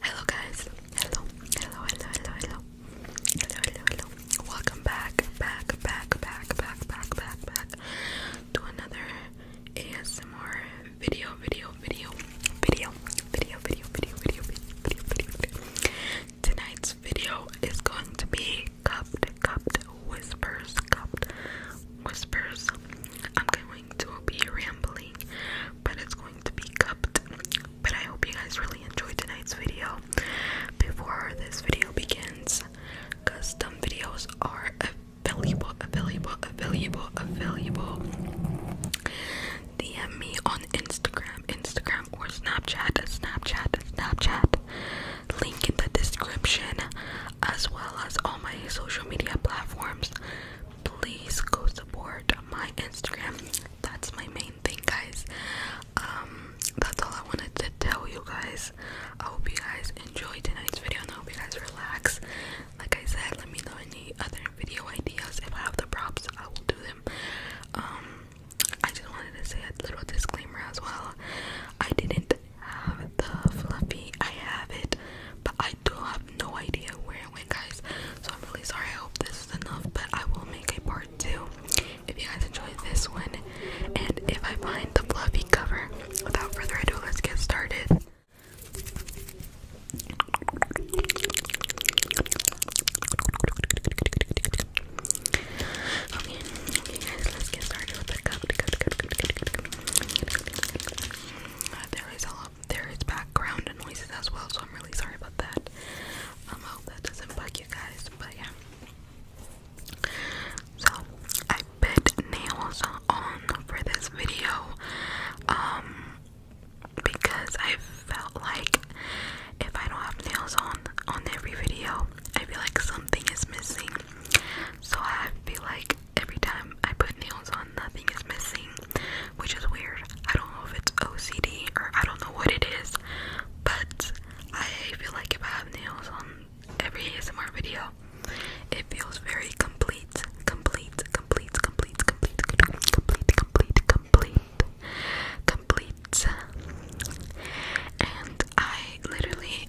Hello guys. Hello. Hello. Hello. Hello. Hello. Hello. Hello. Hello. Welcome back, back, back, back, back, back, back, back to another ASMR video, video, video, video, video, video, video, video, video, video, video. Tonight's video is going to be cupped, cupped whispers, cupped whispers. I'm going to be rambling, but it's going to be cupped. But I hope you guys really enjoyed tonight's video. Before this video begins, custom videos are available, available, available, available. DM me on Instagram, Instagram or Snapchat, Snapchat, Snapchat. Link in the description, as well as all my social media platforms please go support my Instagram. That's my main thing, guys. Um, that's all I wanted to tell you guys. I hope you guys enjoy tonight's video and I hope you guys relax. Like I said, let me know any other video ideas. If I have the props, I will do them. Um, I just wanted to say a little disclaimer as well. I didn't have the fluffy, I have it, but I do have no idea where it went, guys. So I'm really sorry. I hope this is enough, but I will make a part two if you guys enjoyed this one. And if I find the fluffy cover, without further ado, let's get started. Okay, guys, let's get started there is a lot, there is background noises as well, so I'm really sorry about that. Um, I hope that doesn't bug you guys, but yeah. So I put nails on for this video, um, because I felt like if I don't have nails on on every video, I feel like something is missing. So I would be like every time I put nails on, nothing is missing, which is weird. I don't know if it's OCD or I don't know what it is, but I feel like if I have nails on every ASMR video, it feels very complete, complete, complete, complete, complete, complete, complete, complete, complete, And I literally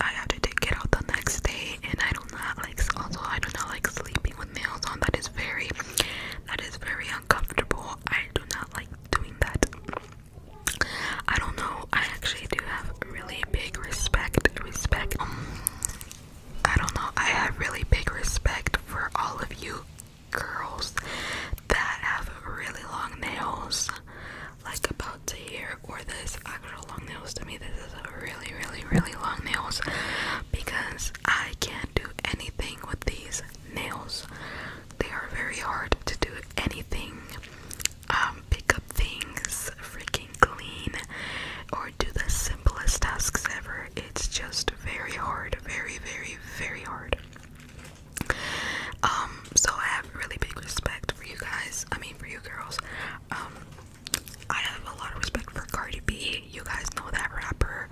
I have to take it out the next day, and I do not like. Also, I do not like sleeping with nails on. That is very, that is very uncomfortable. I do not like doing that. I don't know. I actually do have really big respect. Respect. Um, I don't know. I have really big respect for all of you girls that have really long nails like about to hear or this actual long nails to me this is a really really really long nails because I can't do anything with these nails they are very hard to do anything um, pick up things freaking clean or do the simplest tasks ever it's just very hard very very very hard um so I have really big respect for you guys I mean for you girls um, I have a lot of respect for Cardi B. You guys know that rapper.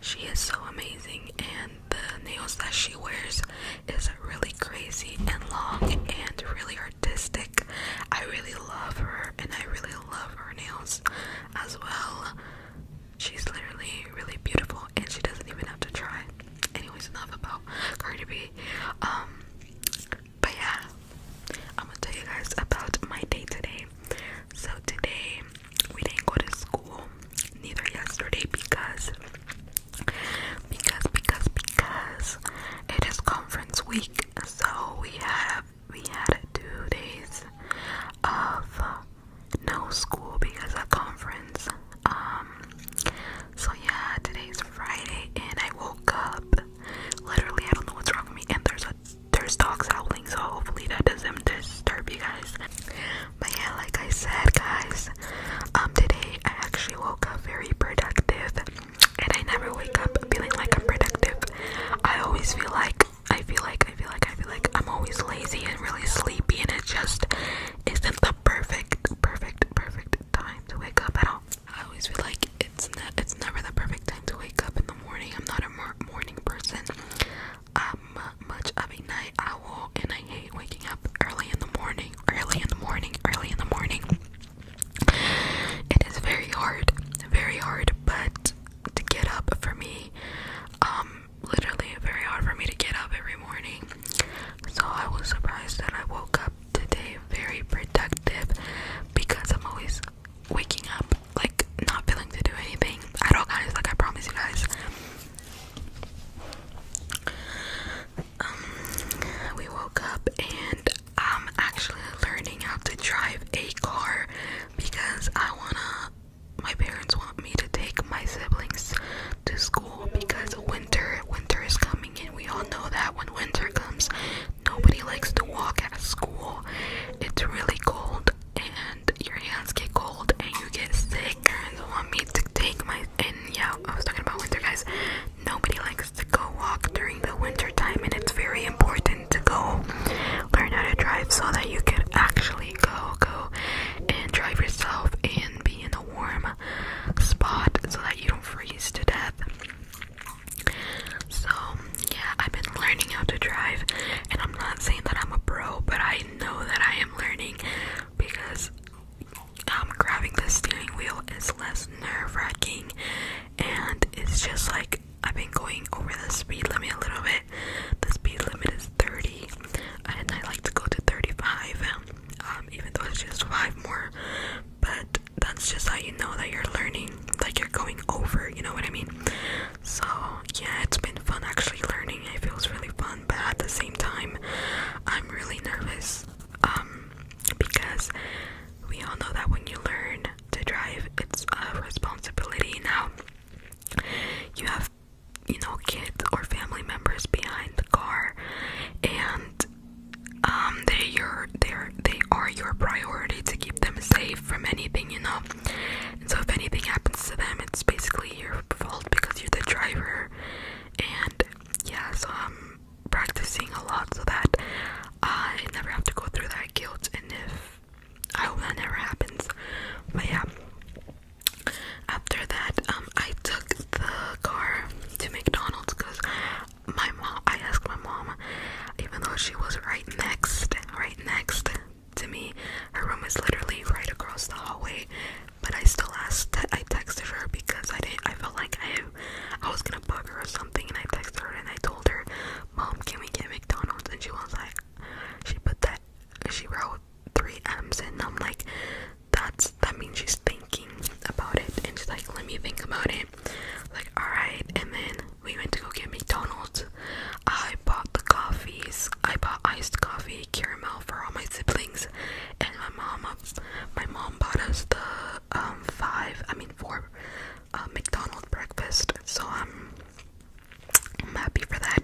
She is so amazing, and the nails that she wears is really crazy and long and really artistic. I really love her, and I really love her nails as well. She's literally really beautiful, and she doesn't even have to try. Anyways, enough about Cardi B. Um, but yeah, I'm gonna tell you guys about my day today. So today we didn't go to school, neither yesterday because because because because it is conference week, so we have we had two days of no school because of conference um, so yeah, today's Friday and I woke up. Literally, I don't know what's wrong with me. And there's a there's dogs howling, so hopefully that doesn't disturb you guys. But yeah, like I said, guys, um, today I actually woke up very productive, and I never wake up feeling like I'm productive. I always feel like I feel like I feel like I feel like I'm always lazy and really sleepy, and it just isn't the perfect, perfect, perfect, time to wake up I always feel like it's it's never the perfect time to wake up in the morning. I'm not a morning person. I'm much of a night owl, and I hate waking up early in the morning. Early in the morning. Early in the morning. It is very hard, very hard, but to get up for me, um, literally very hard for me to get up every morning. So I was surprised that I woke up today very productive because I'm always waking up like not feeling to do anything I don't guys. Like I promise you guys. Um, we woke up and I'm actually learning how to drive a car because I wanna. My parents want me to take my siblings to school because winter winter is coming and we all know that when winter comes nobody likes to walk at school it's really cold and your hands get cold and you get sick and want me to take my and yeah i was talking about winter guys nobody likes to go walk during the winter time and it's very important to go learn how to drive so that you can actually go go and drive yourself and be in a warm spot so that you don't freeze to death. So, yeah, I've been learning how to drive, and I'm not saying that I'm a pro, but I know that I am learning because I'm um, grabbing the steering wheel It's less nerve wracking, and it's just like I've been going over the speed limit a little bit. The speed limit is 30, and I like to go to 35, um, even though it's just five more. But that's just how you know that you're learning, like you're going over, you know what I mean? So, yeah, it's been fun actually learning. It feels really fun, but at the same time, I'm really nervous um, because we all know that when you learn to drive, it's a responsibility now. You have you know, kids or family members behind the car, and um, they're your, they they are your priority to keep them safe from anything, you know. And so, if anything happens to them, it's basically your fault because you're the driver. And yeah, so I'm practicing a lot so that I never have to go through that guilt. And if I hope that never happens, but yeah, after that, um, I took the car to McDonald's because my mom, I asked my mom, even though she was right next, right next to me, her room is literally right across the hallway, but I still asked, I texted her because I didn't, I felt like I, I was gonna bug her or something, and I texted her and I told her, Mom, can we get McDonald's? And she was like, she put that, she wrote, three M's and I'm like that's that means she's thinking about it and she's like let me think about it like alright and then we went to go get McDonald's I bought the coffees I bought iced coffee caramel for all my siblings and my mom my mom bought us the um, five I mean four uh, McDonald's breakfast so I'm I'm happy for that.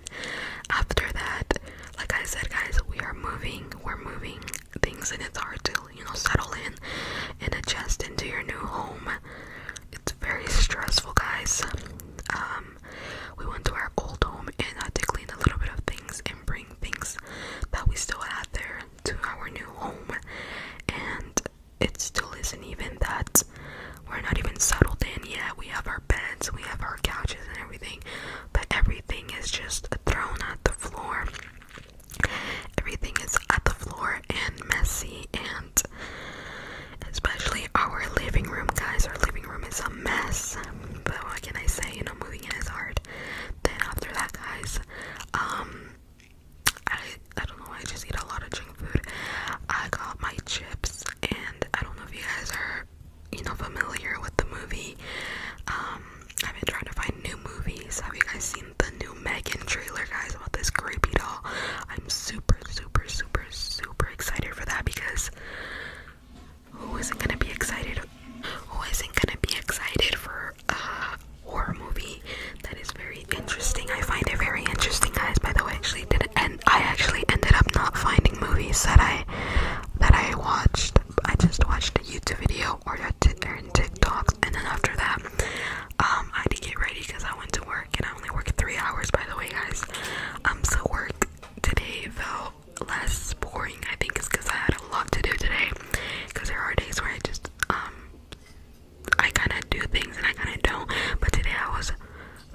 After that, like I said, guys, we are moving. We're moving things, and it's hard to, you know, settle in and adjust into your new home. It's very stressful, guys. Um, we went to our old home and had to clean a little bit of things and bring things that we still had there to our new home, and it still isn't even that we're not even settled in yet. We have our beds, we have our couches, and everything, but everything is just thrown at the floor. Everything is at the floor and messy, and especially our living room, guys. Our living room is a mess, but what can I say? You know, moving in is hard. Then, after that, guys, um, I, I don't know, I just eat a lot of junk food. I got my chips and I don't know if you guys are, you know, familiar with the movie. Um, I've been trying to find new movies. Have you guys seen the new Megan trailer, guys, about this creepy doll? I'm super, super, super, super excited for that because who isn't gonna be excited? Who isn't gonna be excited for a horror movie that is very very interesting. I find it very interesting, guys. By the way, actually did and I actually ended up not finding movies that I that I watched. I just watched a YouTube video or a or TikToks, and then after that, um, I did to get ready because I went to work, and I only worked three hours. By the way, guys, um, so work today felt less boring. I think it's because I had a lot to do today. Because there are days where I just um I kind of do things and I kind of don't. But today I was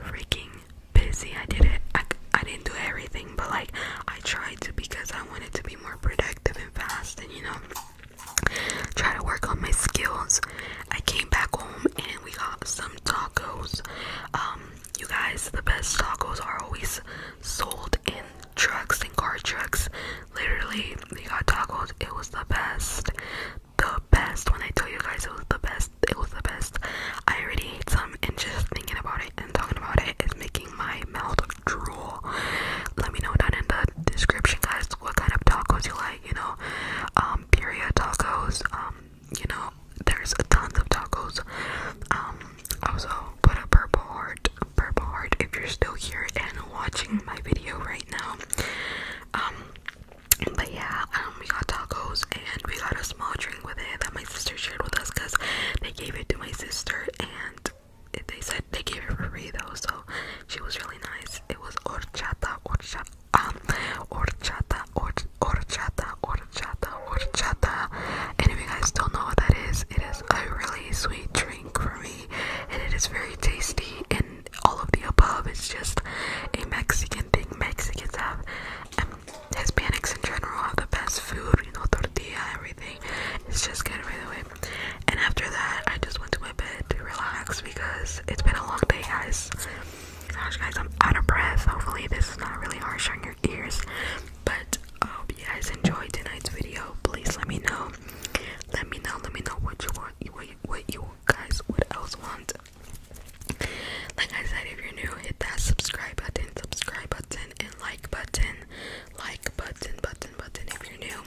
freaking busy. I did it. I, I didn't do everything, but like I tried to because I wanted to be more productive and fast and you know try to work on my skills. I came back home and we got some tacos. Um, you guys, the best tacos are always sold in trucks and car trucks. Literally, we got tacos. It was the best the best. When I tell you guys it was the best, it was the best. I already ate some, and just thinking about it and talking about it is making my mouth drool. Let me know down in the description, guys, what kind of tacos you like. You know, um, period tacos. Um, you know, there's tons of tacos. Um, also put a purple heart, purple heart if you're still here and watching my video right now. But yeah, um, we got tacos and we got a small drink with it that my sister shared with us because they gave it to my sister and it, they said they gave it for free though, so she was really nice. It was horchata, horchata, um, horchata, or, horchata, horchata, horchata. And if you guys don't know what that is, it is a really sweet drink for me and it is very tasty and all of the above. It's just a Mexican thing. Mexicans have, um, Hispanics in general have the best food, you know, tortilla, everything. It's just good right away. And after that, I just went to my bed to relax because it's been a long day, guys. Gosh, guys, I'm out of breath. Hopefully, this is not really harsh on your ears. But I hope you guys enjoyed tonight's video. Please let me know. Let me know. Let me know what you want what you, guys would else want. Like I said, if you're new, hit that subscribe button, subscribe button, and like button, like button, button, button. If you're new,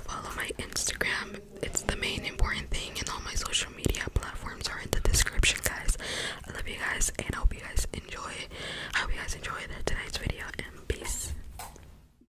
follow my Instagram. It's the main important thing, and all my social media platforms are in the description, guys. I love you guys, and I hope you guys enjoy. I hope you guys enjoy tonight's video, and peace.